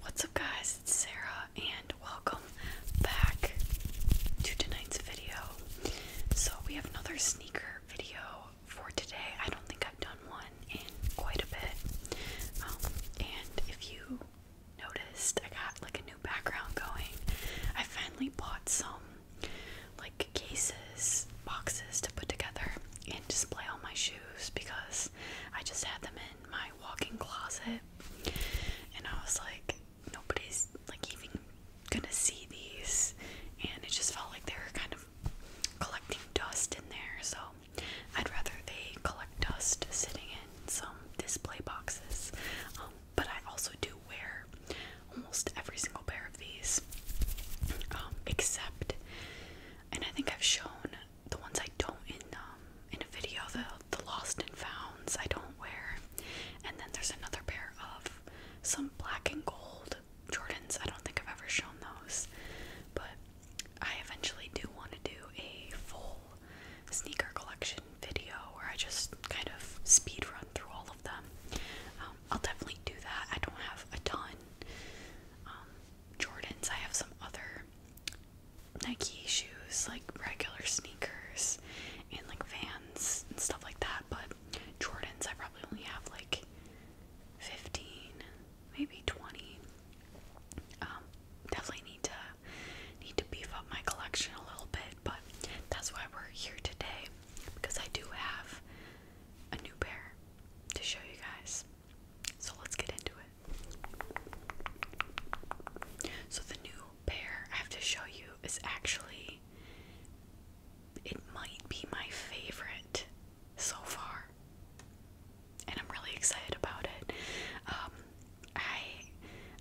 What's up guys, it's Sarah and welcome back to tonight's video. So we have another sneaker video for today. I don't think I've done one in quite a bit. Um, and if you noticed, I got like a new background going. I finally bought some like cases, boxes to put together and display all my shoes because I just had them in my walk-in closet, and I was like, nobody's like even gonna see these, and it just felt like they were kind of collecting dust in there. So I'd rather they collect dust sitting in some display boxes. Um, but I also do wear almost every single pair of these, um, except, and I think I've shown the ones I don't in um in a video, the the lost and founds I don't wear. And then there's another pair of some black and gold Jordans. I don't think I've ever shown those. But I eventually do want to do a full sneaker collection video where I just kind of speed run through all of them. Um, I'll definitely do that. I don't have a ton um, Jordans. I have some other Nike shoes, like regular sneakers, and like Vans and stuff like that. But Jordans, I probably only have like 15, maybe 20. Um, definitely need to need to beef up my collection a little bit, but that's why we're here today because I do have a new pair to show you guys. So let's get into it. So the new pair I have to show you is actually it might be my favorite so far. And I'm really excited about it. Um, I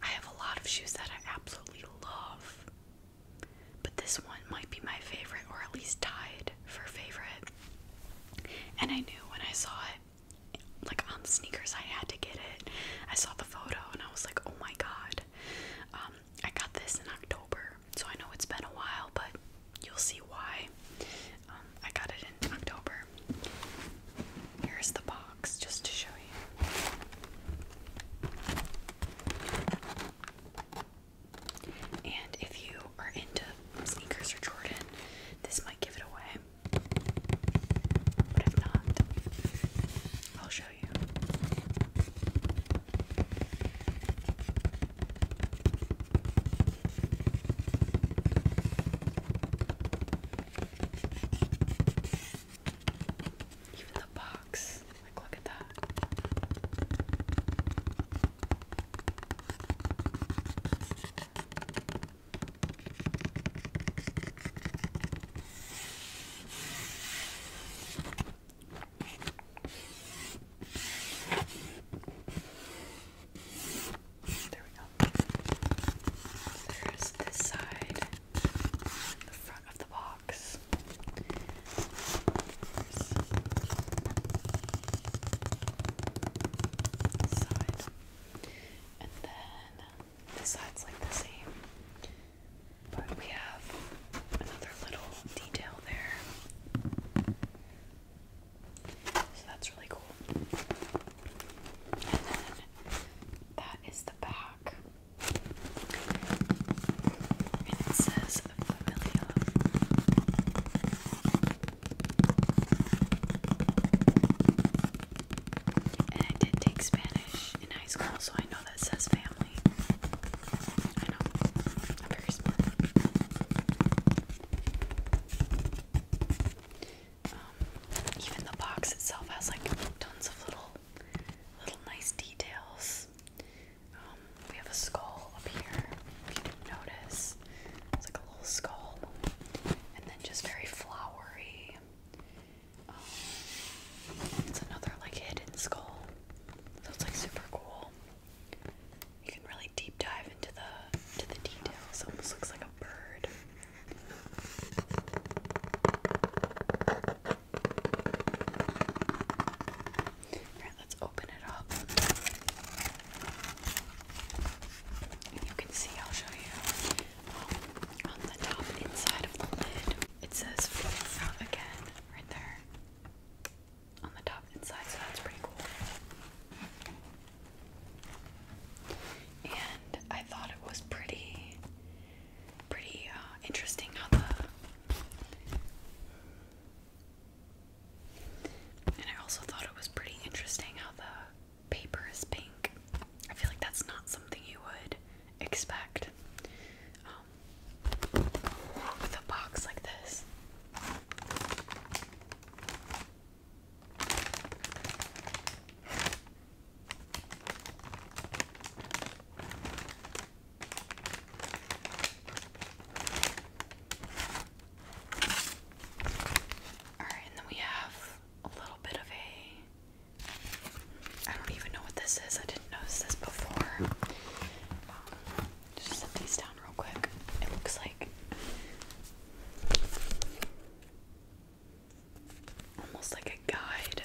I have a lot of shoes that I absolutely love. But this one might be my favorite or at least tied for favorite. And I knew when I saw it like on sneakers I had to get it. I saw the photo and I was like, "Oh my god." Um, I got this in October. So I know it's been a while, but you'll see why. Um, I got it in October. Here's the box just to show you. And if you are into sneakers or Jordan, this might give it away if not, I'll show you. Even the box, like, look at that. There we go. There's this side, the front of the box. There's this side. And then this side's like the same. But we have another little detail there. So that's really cool. And then that is the back. it says familia. And I did take Spanish in high school, so I know that says family. I know. I'm very smart. Um, even the box itself has like tons of little, little nice details. Um, we have a skull up here, if you didn't notice. It's like a little skull, and then just very flowery. Um, it's another like hidden skull, so it's like super cool. You can really deep dive into the to the details. almost looks like a bird. Alright, let's open it up. You can see, I'll show you. Um, on the top inside of the lid, it says Foods Out Again right there. On the top inside, so that's pretty cool. And I thought it was pretty, pretty uh, interesting how the and I also thought it was pretty interesting how the paper is pink. I feel like that's not something you would expect um, with a box like this. Alright, and then we have a little bit of a. I don't even know what this is. I didn't notice this before. Hmm. Um, just set these down real quick. It looks like almost like a guide.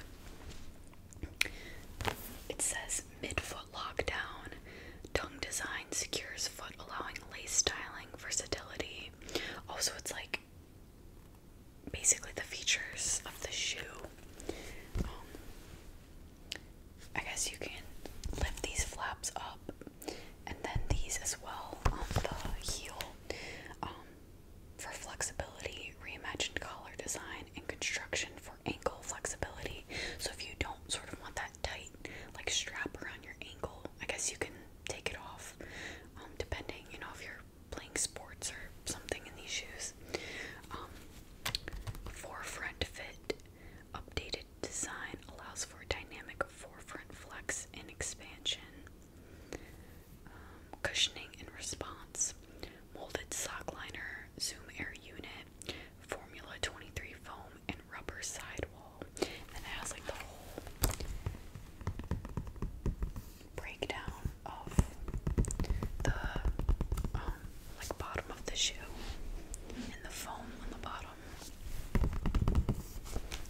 It says midfoot lockdown, tongue design, secures foot, allowing lace styling, versatility. Also, it's like basically the features of the shoe. Um, I guess you can lift these flaps up and then these as well on the heel um, for flexibility, reimagined collar design, and construction for ankle flexibility. So, if you don't sort of want that tight, like strap around your ankle, I guess you can take it off, um, depending, you know, if you're playing sports or something in these shoes. Um, forefront fit, updated design allows for dynamic forefront flex and expansion. Um, cushioning and response, molded sock liner, Zoom Air unit, Formula 23 foam, and rubber sidewall. And it has like the whole breakdown of the um, like bottom of the shoe and the foam on the bottom.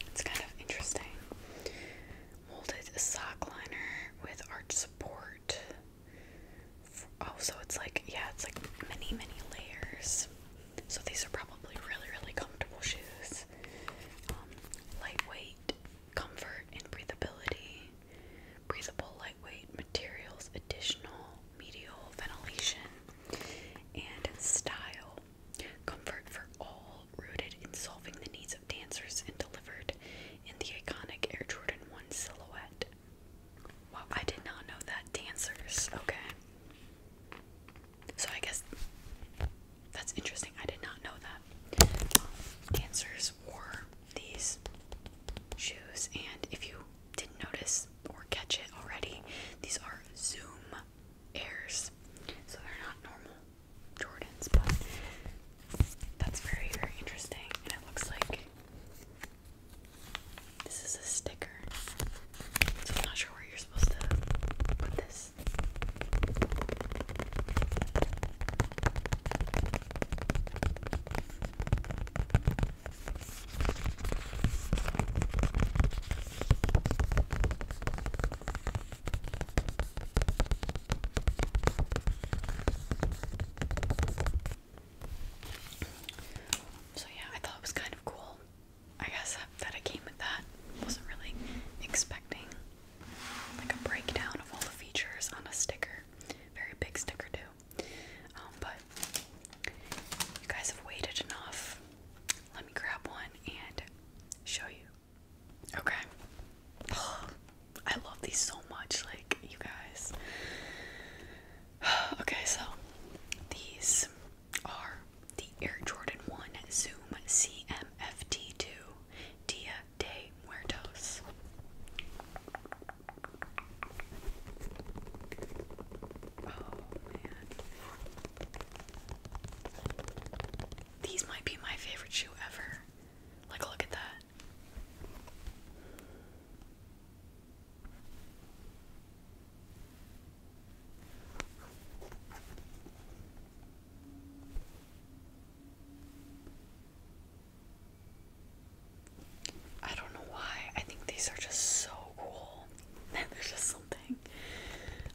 It's kind of interesting. Molded sock liner with arch support. Oh, it's like yeah, it's like many many layers. So these are probably really, really comfortable shoes. Um, lightweight, comfort, and breathability. Breathable, lightweight materials, additional medial ventilation, and style. Comfort for all, rooted in solving the needs of dancers and delivered in the iconic Air Jordan 1 silhouette. Wow, I did not know that. Dancers, okay. So I guess that's interesting. I did not know that. dancers um, wore these shoes, and if you didn't notice or catch it already, these are Zoom Airs. So they're not normal Jordans, but that's very, very interesting. And it looks like this is a sticker. So I'm not sure where you're supposed to put this. So, yeah, I thought it was kind of cool. I guess that it came with that. Wasn't really expecting like a breakdown of all the features on a sticker. Very big sticker too. Um, but you guys have waited enough. Let me grab one and show you. Okay. I love these so much, like you guys. okay, so these are the Air Jordan 1 Zoom CMFT2 Dia de Muertos. Oh man. These might be my favorite shoe ever. Like, look at that. I don't know why. I think these are just so cool. There's just something.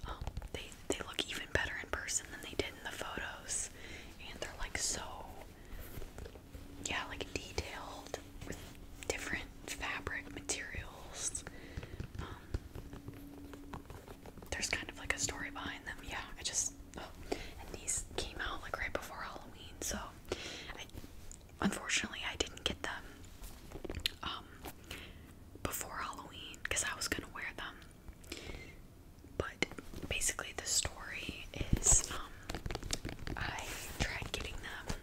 Um, they they look even better in person than they did in the photos, and they're like so. Yeah, like detailed with different fabric materials. Um, there's kind of like a story behind them. Yeah, I just oh, and these came out like right before Halloween, so unfortunately I didn't get them um, before Halloween because I was gonna wear them. But basically, the story is um, I tried getting them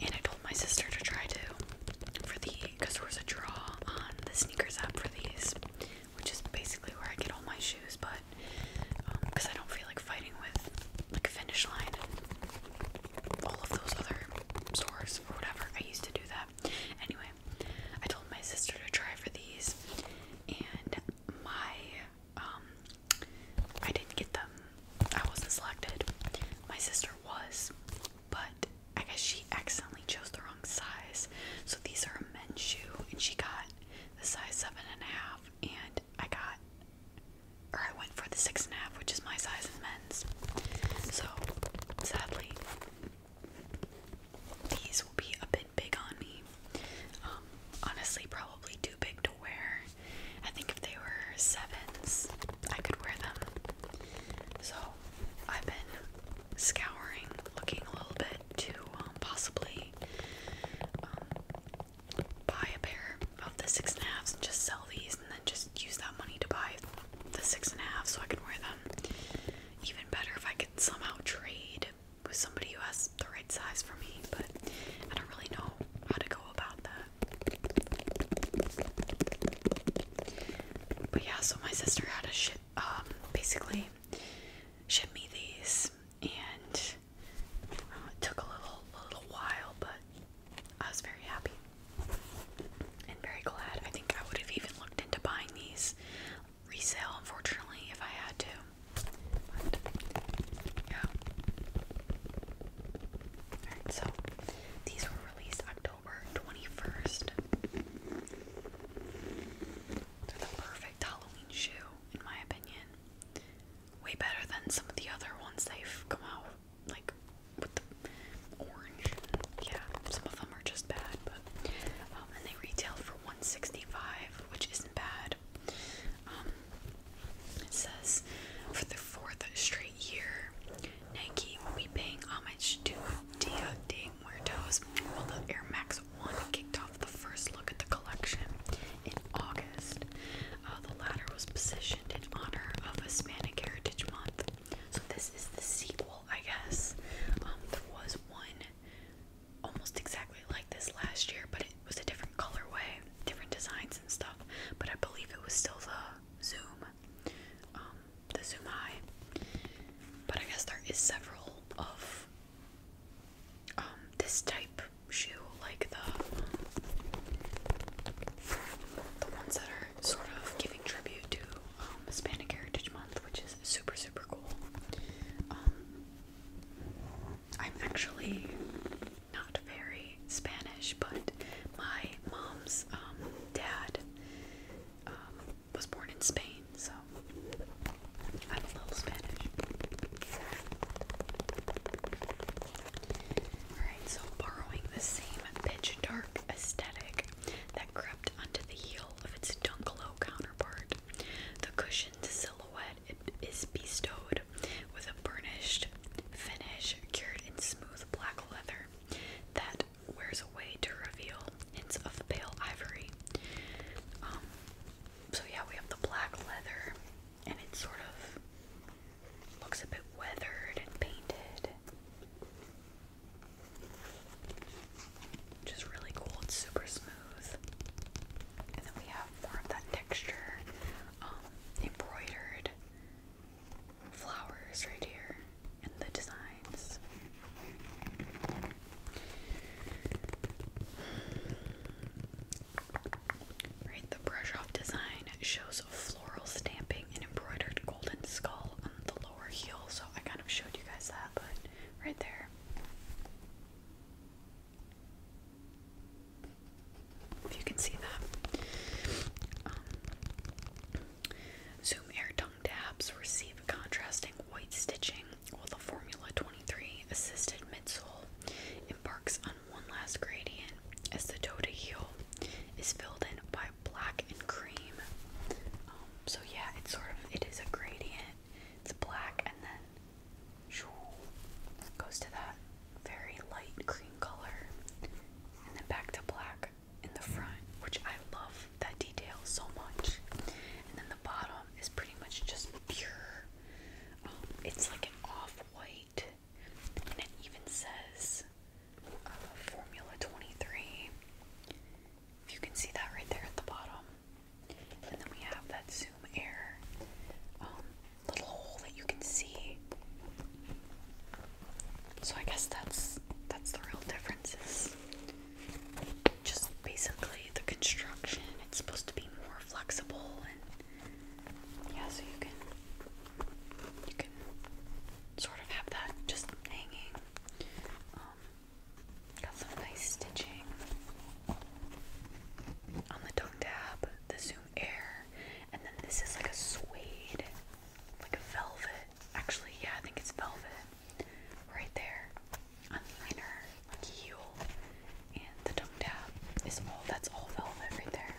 and I told my sister to try to for the because there was a draw on the sneakers app for these, which is basically where I get all my shoes, but because um, I don't feel like fighting with like finish line and all of those other stores or whatever. I used to do that. Anyway, I told my sister to try for these and my um I didn't get them. I wasn't selected. My sister was, but I guess she accidentally chose the wrong size. So these are a men's shoe, and she got the size seven and a half, and I got, or I went for the six and a half, which is my size in men's. So sadly, these will be a bit big on me. Um, honestly, probably too big to wear I think if they were sevens, I could wear them. So I've been scouring, looking a little bit to um, possibly um, buy a pair of the six and a halves and just sell these, and then just use that money to buy the six and a half so I can wear them. Even better if I could somehow trade with somebody who has the right size for me, but I don't really know how to go about that. But yeah, so my sister had to um, basically ship me these, and uh, it took a little, little while, but I was very happy and very glad. I think I would have even looked into buying these resale, unfortunately, if I had to. yeah so these were released October 21st. They're the perfect Halloween shoe, in my opinion. Way better than some of the other ones they've come out like with the orange. yeah, some of them are just bad, but um, and they retail for 165, which isn't bad. Um, it says, for the fourth straight year, Nike will be paying homage to Dia de Muertos while the Air Max 1 kicked off the first look at the collection in August. Uh, the latter was positioned in honor of Hispanic Heritage Month. So this is the sequel, I guess. Um, there was one almost exactly like this last year, but it was a different colorway, different designs and stuff, but I believe it was still the Zoom, um, the Zoom High. But I guess there is several of um, this type shoe, like the the ones that are sort of giving tribute to um, Hispanic Heritage Month, which is super super cool. I'm actually not very Spanish, but my mom's um, dad um, was born in Spain, so I'm a little Spanish. Alright, so borrowing the same pitch dark aesthetic that crept onto the heel of its Dunklow counterpart, the cushioned silhouette is bestowed with a burnished finish cured in smooth black leather that wears away to reveal hints of pale ivory. Um, so yeah, we have the black leather, and it sort of looks a bit weathered and painted. Just really cool. It's super smooth. And then we have more of that texture um, embroidered flowers right here and the designs. Right, the brush off design shows floral stamping and embroidered golden skull on the lower heel, so I kind of showed you guys that, but right there. If you can see that. Um, Zoom Air Tongue Dabs receive contrasting white stitching while the Formula 23 assisted midsole embarks on one last gradient as the toe to heel is filled in by black and cream. Um, so yeah, it's sort of, it is a gradient. It's black and then Goes to that very light cream color and then back to black in the front, which I love that detail so much. And then the bottom is pretty much just pure. Um, it's like an off white, and it even says uh, Formula 23. If you can see that right there at the bottom. And then we have that Zoom Air. Um, little hole that you can see. So I guess that's that's the real difference is just basically the construction. It's supposed to be more flexible and yeah, so you can you can sort of have that just hanging. Um, got some nice stitching on the tongue tab. The zoom air, and then this is like a suede, like a velvet. Actually, yeah, I think it's velvet. Right there on the inner like heel and the tongue tab is all that's all velvet right there,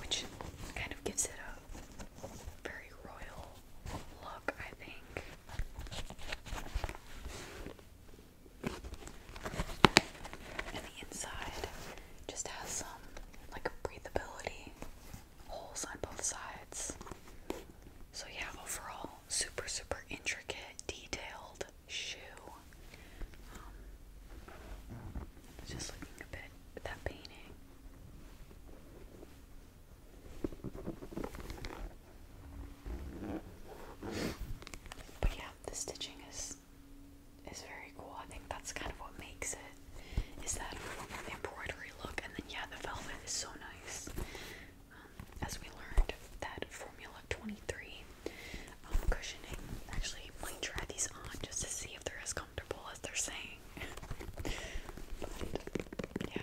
which kind of gives it a very royal look, I think. And the inside just has some like breathability holes on both sides. So yeah, overall, super super intricate, detailed shoe. Um, just looking a bit at that painting. But yeah, the stitching is is very cool. I think that's kind of what makes it is that embroidery look, and then yeah, the velvet is so nice. Um, as we learned that Formula 23 um, cushioning actually might try these on just to see if they're as comfortable as they're saying. but, yeah.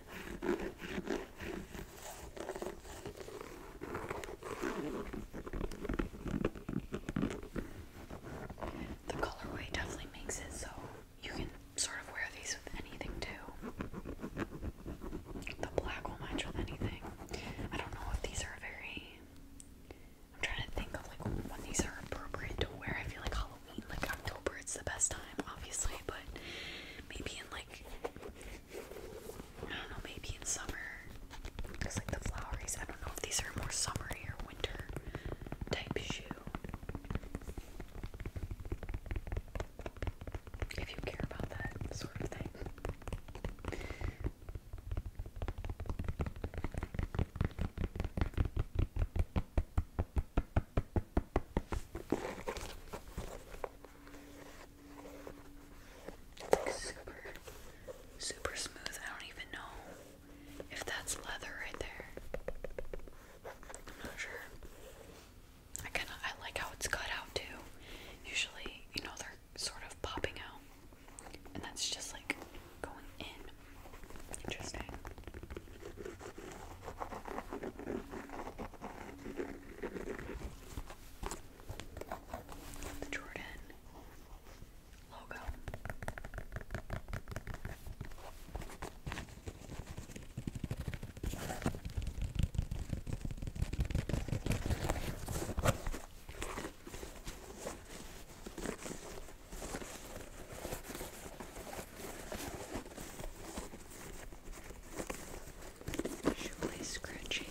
The colorway definitely makes it so you can sort of wear these with anything too. The black will match with anything. I don't know if these are very. I'm trying to think of like when these are appropriate to wear. I feel like Halloween, like October, it's the best time, obviously, but maybe in like. I don't know, maybe in summer, because like the floweries. I don't know if these are more summery or winter type shoe. If you care about that sort of thing super, super smooth. I don't even know if that's leather right there. I'm not sure. I kind of I like how it's cut out too. Usually, you know, they're sort of popping out, and that's just like going in. Interesting. The Jordan logo. Shoelace scrunchie.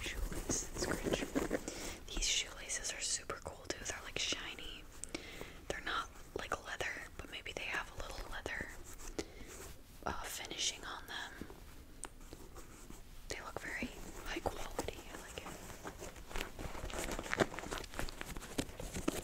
Shoelace scrunchie. These shoelaces are super cool too. They're like shiny. They're not like leather, but maybe they have a little leather uh, finishing on them. They look very high quality. I like it.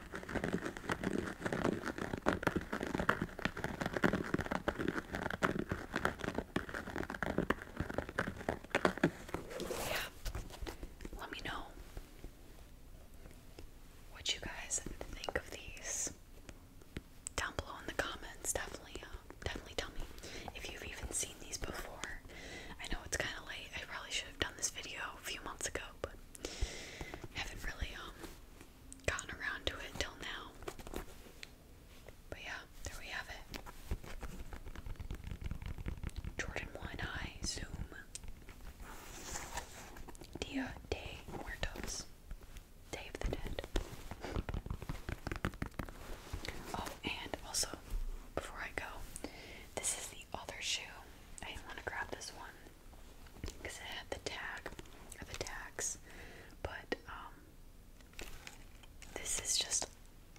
Yeah. Let me know what you guys think of these down below in the comments. Definitely, uh, definitely tell me if you've even seen these before. I know it's kind of late. I probably should have done this video a few months ago, but haven't really um gotten around to it till now. But yeah, there we have it. Jordan One Eye Zoom Dia de Muertos. Day of the Dead. Oh, and also, before I go, this is the other shoe I didn't want to grab this one because it had the tag of the tags, but um, this is just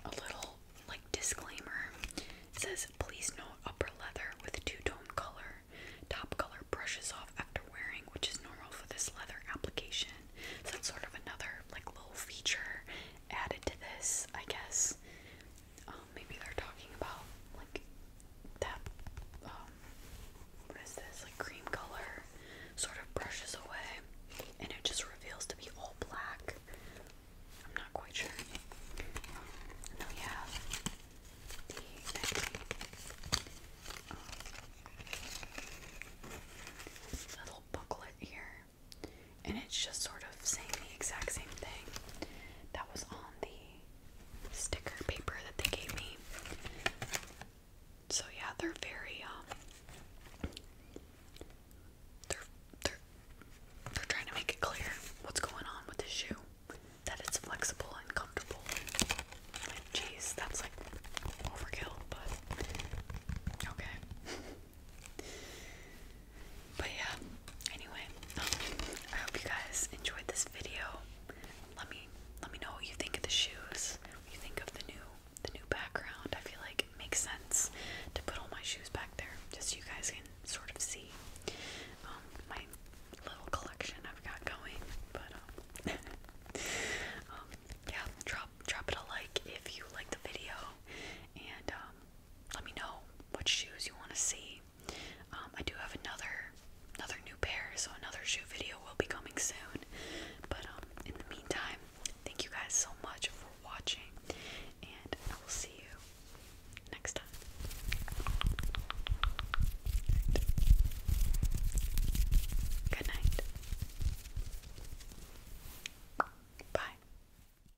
a little like disclaimer. says, "Please note upper leather with two-tone color. Top color brushes off after wearing, which is normal for this leather application." So that's sort of another like little feature added to this, I guess. Oh, maybe they're talking about like that. Um, what is this? Like cream color, sort of brushes away, and it just reveals to be all black. I'm not quite sure. Um, and little booklet here and it's just sort of saying the exact same thing that was on the sticker paper that they gave me. So yeah, they're very um they're they're they're trying to make it clear what's going on with the shoe. That it's flexible and comfortable. Like, jeez, that's like overkill, but okay. But yeah, anyway, I hope you guys enjoyed this video. Let me let me know what you think of the shoes. you think of the new the new background. I feel like it makes sense to put all my shoes back there just so you guys can sort of see um, my little collection I've got going. But um, um, yeah, drop drop it a like if you like the video and let me know what shoes you want to see. Um, I do have another another new pair, so another shoe video will be coming soon. But um, in the meantime, thank you guys so much for watching, and I will see you next time. Good night. Bye.